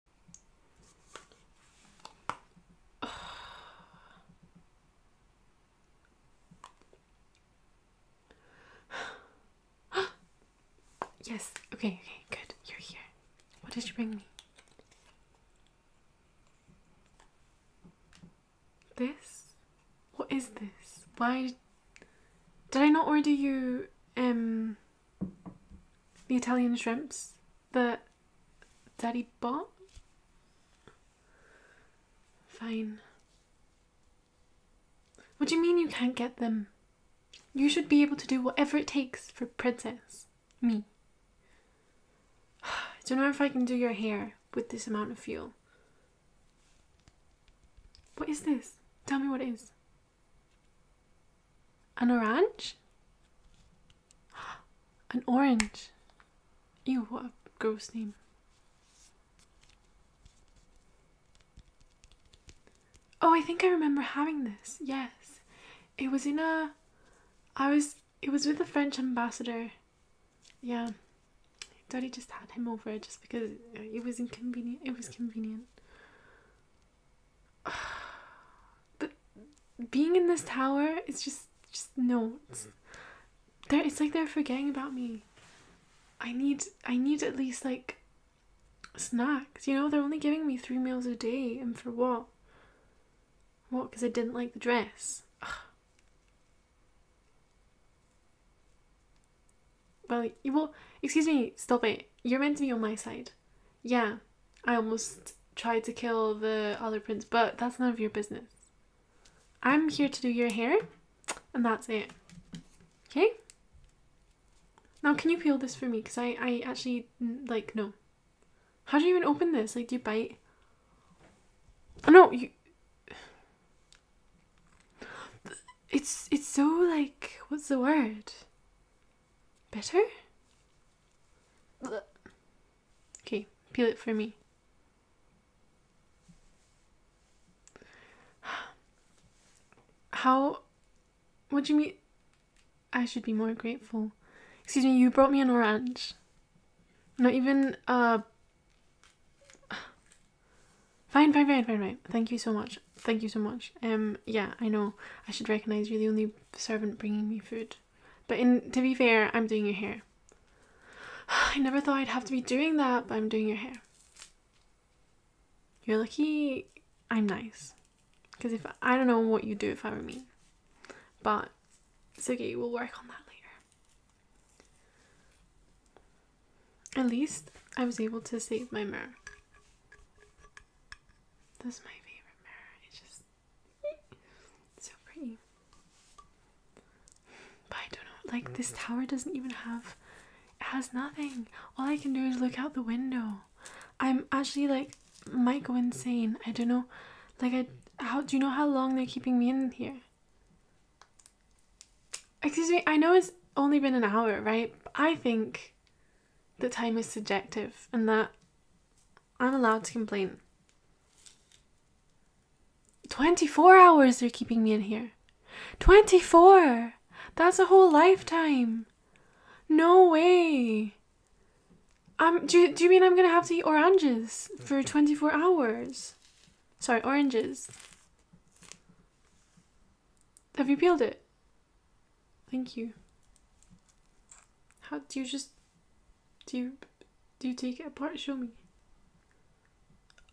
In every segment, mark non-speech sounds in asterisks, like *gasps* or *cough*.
*sighs* yes, okay, okay, good. You're here. What did you bring me? This? What is this? Why did I not order you um the Italian shrimps the Daddy bought? Fine. What do you mean you can't get them? You should be able to do whatever it takes for Princess. Me. *sighs* I don't know if I can do your hair with this amount of fuel. What is this? Tell me what it is. An orange? *gasps* An orange. Ew, what a gross name. Oh, I think I remember having this. Yes. It was in a I was it was with the French ambassador. Yeah. Daddy just had him over just because it was inconvenient. It was convenient. But *sighs* being in this tower it's just just no. It's, mm-hmm. they're, it's like they're forgetting about me. I need I need at least like snacks. You know, they're only giving me three meals a day, and for what? What? Because I didn't like the dress. *sighs* Well, you will. Excuse me. Stop it. You're meant to be on my side. Yeah, I almost tried to kill the other prince, but that's none of your business. I'm here to do your hair, and that's it. Okay? Now, can you peel this for me? Because I, I actually, like, no. How do you even open this? Like, do you bite? Oh, no, you... *sighs* It's, it's so, like, what's the word? Better? Okay, peel it for me. How? What do you mean? I should be more grateful. Excuse me, you brought me an orange. Not even, uh... Fine, fine, fine, fine, fine. Thank you so much. Thank you so much. Um, yeah, I know. I should recognize you're the only servant bringing me food. But in to be fair, I'm doing your hair. *sighs* I never thought I'd have to be doing that, but I'm doing your hair. You're lucky I'm nice. Because if I don't know what you do if I were me. But it's okay, we'll work on that later. At least I was able to save my mirror. This is my favorite mirror. It's just so pretty. But I don't know, like this tower doesn't even have it has nothing. All I can do is look out the window. I'm actually like might go insane. I don't know. Like I how do you know how long they're keeping me in here? Excuse me, I know it's only been an hour, right? I think that time is subjective and that I'm allowed to complain. 24 hours are keeping me in here. 24! That's a whole lifetime. No way. Um, do, do you mean I'm gonna have to eat oranges for mm-hmm. 24 hours? Sorry, oranges. Have you peeled it? Thank you. How do you just do you do you take it apart? Show me.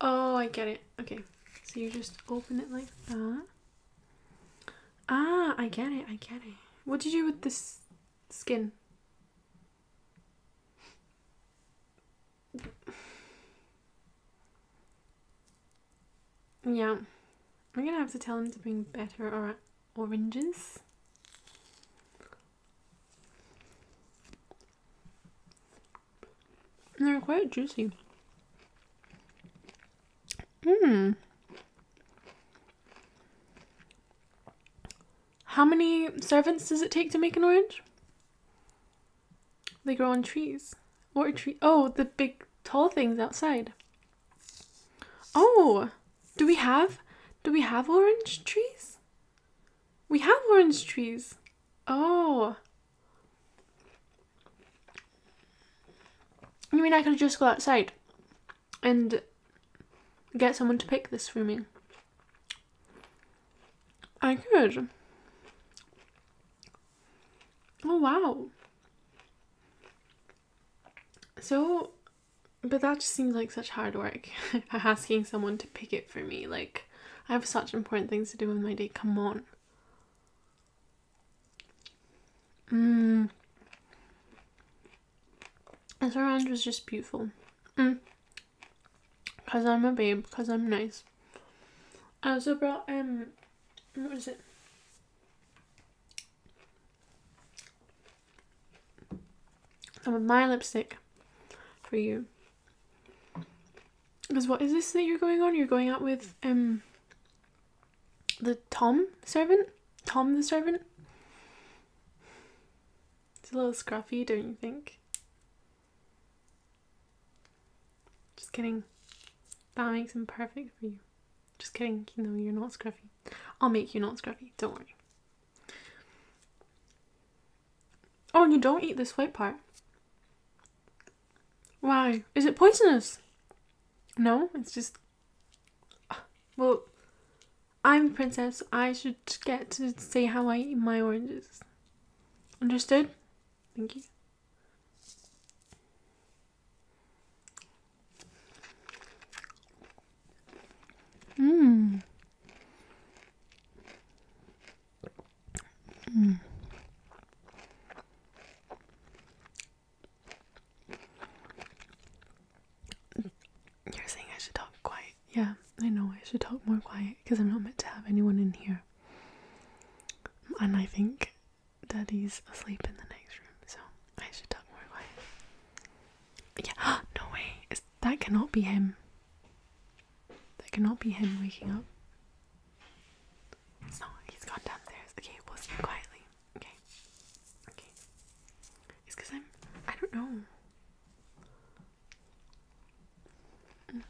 Oh, I get it. Okay. So you just open it like that. Ah, I get it. I get it. What do you do with this skin? *sighs* Yeah. I'm gonna have to tell him to bring better, alright oranges. they're quite juicy. Mmm. How many servants does it take to make an orange? They grow on trees. Or a tree. Oh, the big tall things outside. Oh, do we have do we have orange trees? We have orange trees. Oh. You mean I could just go outside and get someone to pick this for me? I could. Oh wow. So, but that just seems like such hard work. *laughs* Asking someone to pick it for me. Like, I have such important things to do with my day. Come on. Mmm. This around was just beautiful. Mm. Cause I'm a babe, cause I'm nice. I also brought um what is it? some of my lipstick for you. Because what is this that you're going on? You're going out with um the Tom servant? Tom the servant? It's a little scruffy, don't you think? Just kidding. That makes him perfect for you. Just kidding, no, you're not scruffy. I'll make you not scruffy, don't worry. Oh, and you don't eat this white part. Why? Is it poisonous? No, it's just. Well, I'm princess. I should get to say how I eat my oranges. Understood? Thank you. Mm. Mm. You're saying I should talk quiet. Yeah, I know I should talk more quiet because I'm not meant to have anyone in here. And I think Daddy's asleep in the next room, so I should talk more quiet. Yeah, *gasps* no way. that cannot be him. That cannot be him waking up. It's He's gone downstairs. Okay, we'll sleep quietly. Okay. Okay. It's because I'm. I don't know. Mm.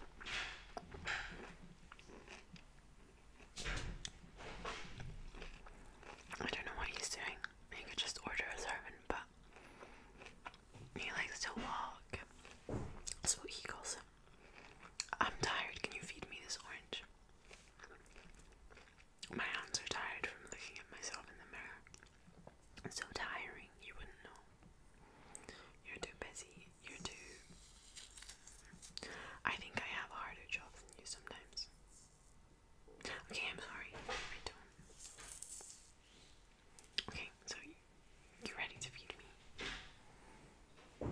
I don't know what he's doing. He could just order a servant, but he likes to walk. That's what he calls him. I'm tired. Can you feed me this orange? My hands are tired from looking at myself in the mirror. It's so tiring, you wouldn't know. You're too busy. You're too. I think I have a harder job than you sometimes. Okay, I'm sorry. Okay, so you're ready to feed me.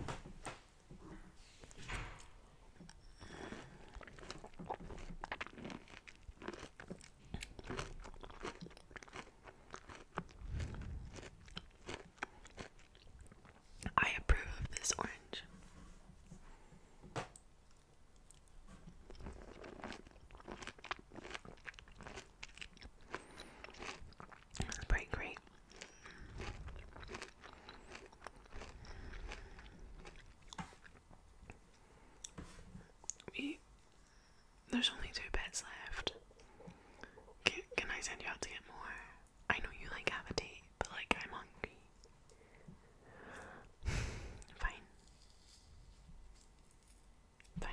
I approve of this orange. It's pretty great. We, there's only two beds left. Can, can I send you out to get more? I know you like have a date, but like I'm hungry. Fine. Fine.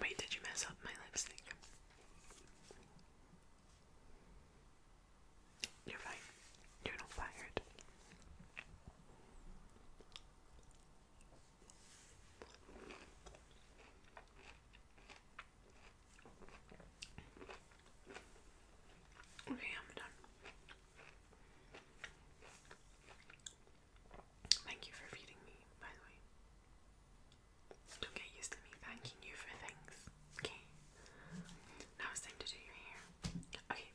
Wait, did you mess up my lipstick? You're fine. You're not fired. Okay, I'm done. Thank you for feeding me, by the way. Don't get used to me thanking you for things, okay? Now it's time to do your hair. Okay,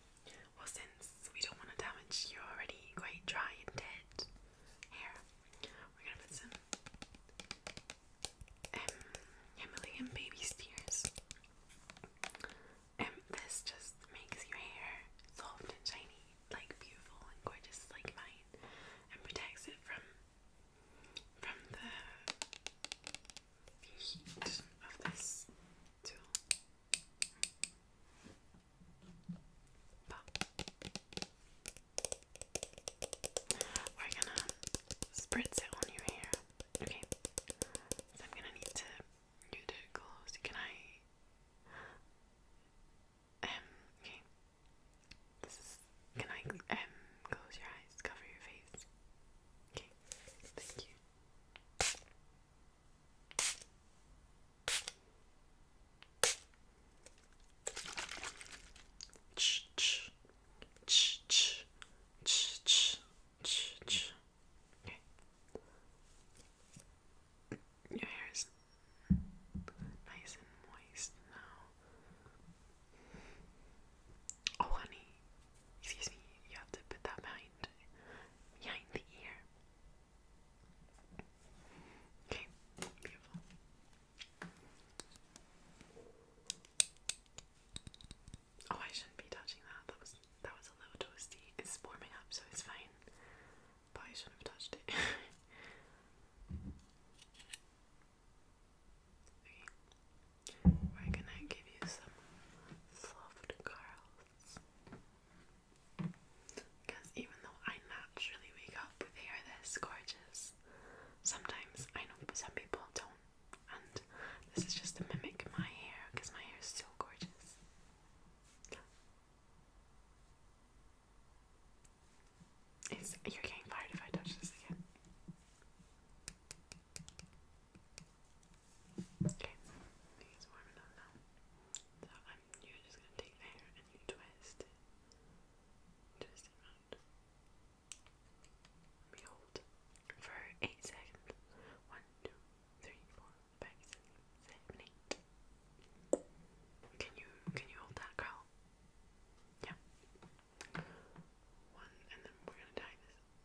well, since we don't want to damage your already quite dry and dead hair, we're gonna put some um, Himalayan baby tears. and um, this just makes your hair soft and shiny, like beautiful and gorgeous, like mine, and protects it from from the of this tool. But we're gonna spritz it on your hair. Okay. So I'm gonna need to you to close. Can I um okay. This is can I um close your eyes, cover your face? Okay. Thank you. ch ch ch ch ch ch ch. Okay. Your hair is nice and moist now. Oh, honey, excuse me, you have to put that behind, behind the ear. Okay, beautiful. Oh, I shouldn't be touching that. That was that was a little toasty. It's warming up, so it's fine. But I shouldn't have touched it. *laughs* Okay, we're gonna give you some soft curls. Because even though I naturally wake up with hair this gorgeous, sometimes I know some people don't. And this is just to mimic my hair because my hair is so gorgeous. you're getting fired if I touch this again. Okay, I think it's now. So you're just gonna take the hair and you twist it. Twist hold for 8 seconds. 1, Can you, can you hold that curl? Yeah. One, and then we're gonna tie this one,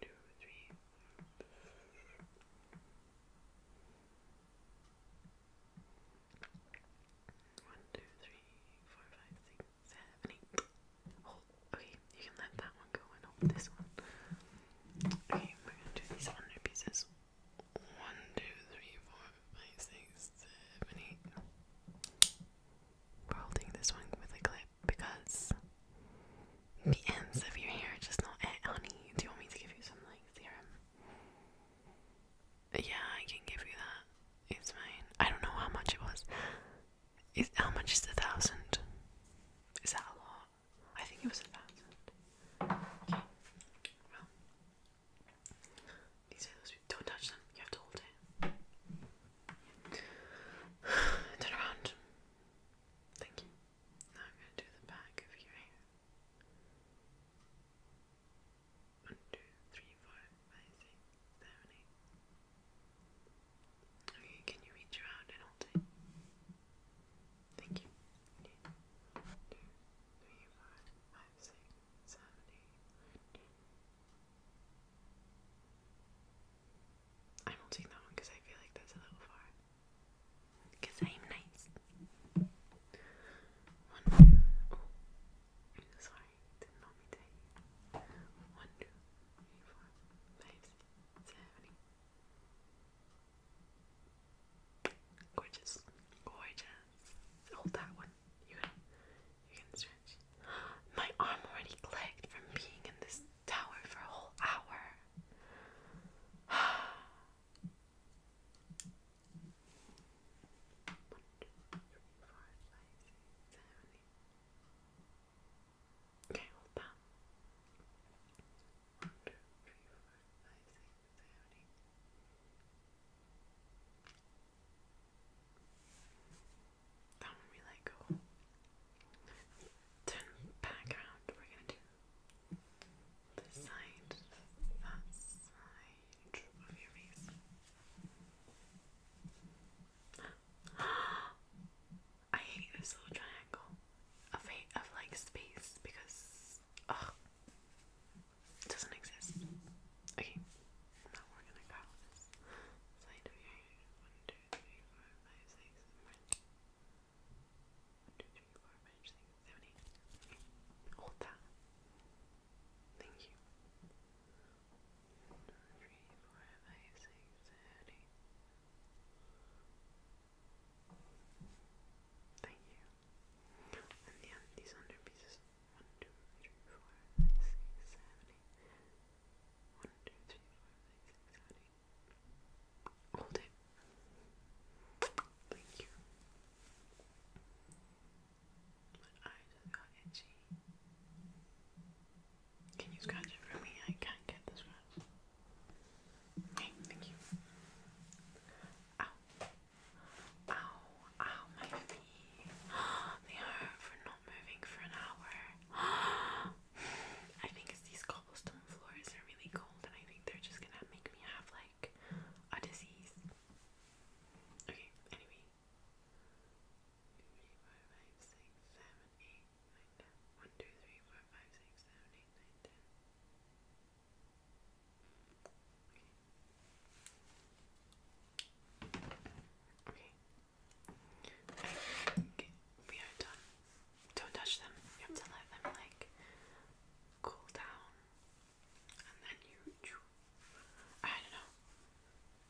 two, three. One, two, three, four, five, six, seven, eight. Hold. Okay, you can let that one go and hold this one. Okay, we're gonna do these hundred pieces. One, two, three, four, five, six, seven, eight. We're holding this one with a clip because the ends of your hair are just not it, honey. Do you want me to give you some like serum? Yeah, I can give you that. It's fine. I don't know how much it was. Is how much is a thousand? Is that a lot? I think it was a thousand. Okay. Well, these are those. Don't touch them. You have to hold it. *sighs* Turn around. Thank you. Now I'm going to do the back of your hair. One, two, three, four, five, six, seven, eight. Okay, can you reach around and hold it? Thank you i will not doing that one because I feel like that's a little far. Because I'm nice. One, two. Oh, sorry, did not mean to hate you. One, two, three, four, five, six, seven, eight. Gorgeous. Gorgeous. Hold that one. You can, you can stretch. My arm already clicked from being in this tower for a whole hour. Okay, hold that that one we let go. Turn back We're gonna do this side, that side of your face. *gasps* I hate this little triangle of of like space because ugh, it doesn't exist. Okay, now we're gonna go this side of your two, three, four, five, six, seven, eight. Thank you. One, two, three, four, five, six, seven, eight. Thank you. And the, these under pieces. One, two, three, four, five, six, seven, eight. One, two, three, four, five, six, seven, eight. Hold it. Thank you. My eyes have got itchy. Can you scratch it for me? I can't get the scratch. thank you. Ow. Ow, ow, my feet. They hurt for not moving for an hour know. I think it's these cobblestone floors are really cold, and I think they're just gonna make me have like a disease. Okay, anyway. 1, Okay. I think we are done. Don't touch them. You have to let them like cool down, and then you. I don't know.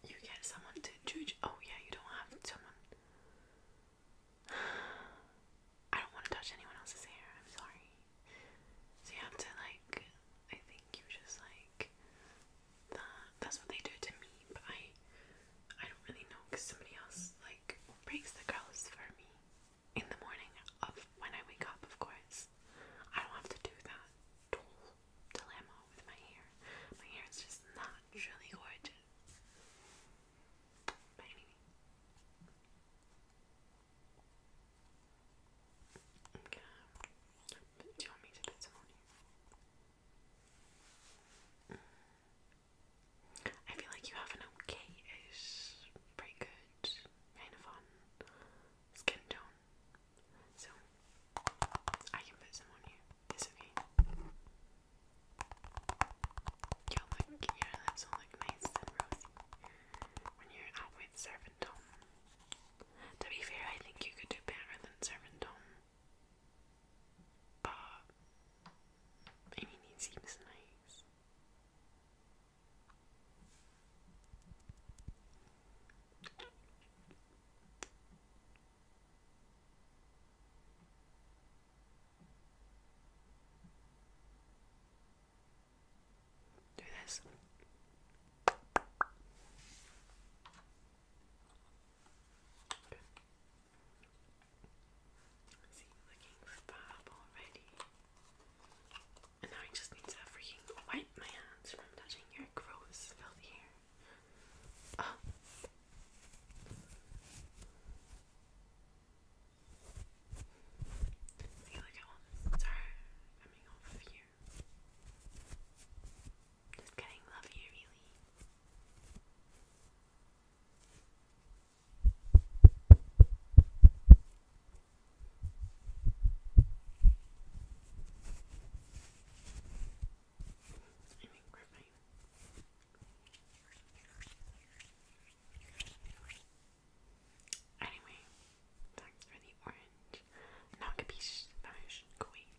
You get someone to judge. Oh yeah, you don't have someone. *sighs* I don't want to touch anyone else's hair. I'm sorry. So you have to like. I think you just like. That. That's what they do to me, but I. I don't really know because somebody else like breaks the curls for me in the morning of when I wake up, of course. I don't have to do that dull dilemma with my hair. My hair is just naturally gorgeous. But Okay. Do you want me to put some on you? Mm. I feel like you have an okay-ish, pretty good, kind of on um, skin tone. So I can put some on you. It's okay. You'll look, your lips will look nice and rosy when you're out with Servant Home. To be fair, I think you could do better than Servant Home but I it seems nice. Do this. See, looking for Bob already. And now I just need to freaking wipe my hands from touching your gross, filthy hair. Oh. See, look at all the coming off of you. Just kidding, love you, really. Anyway, thanks for the orange. Now, capiche? Spanish, Kuwait.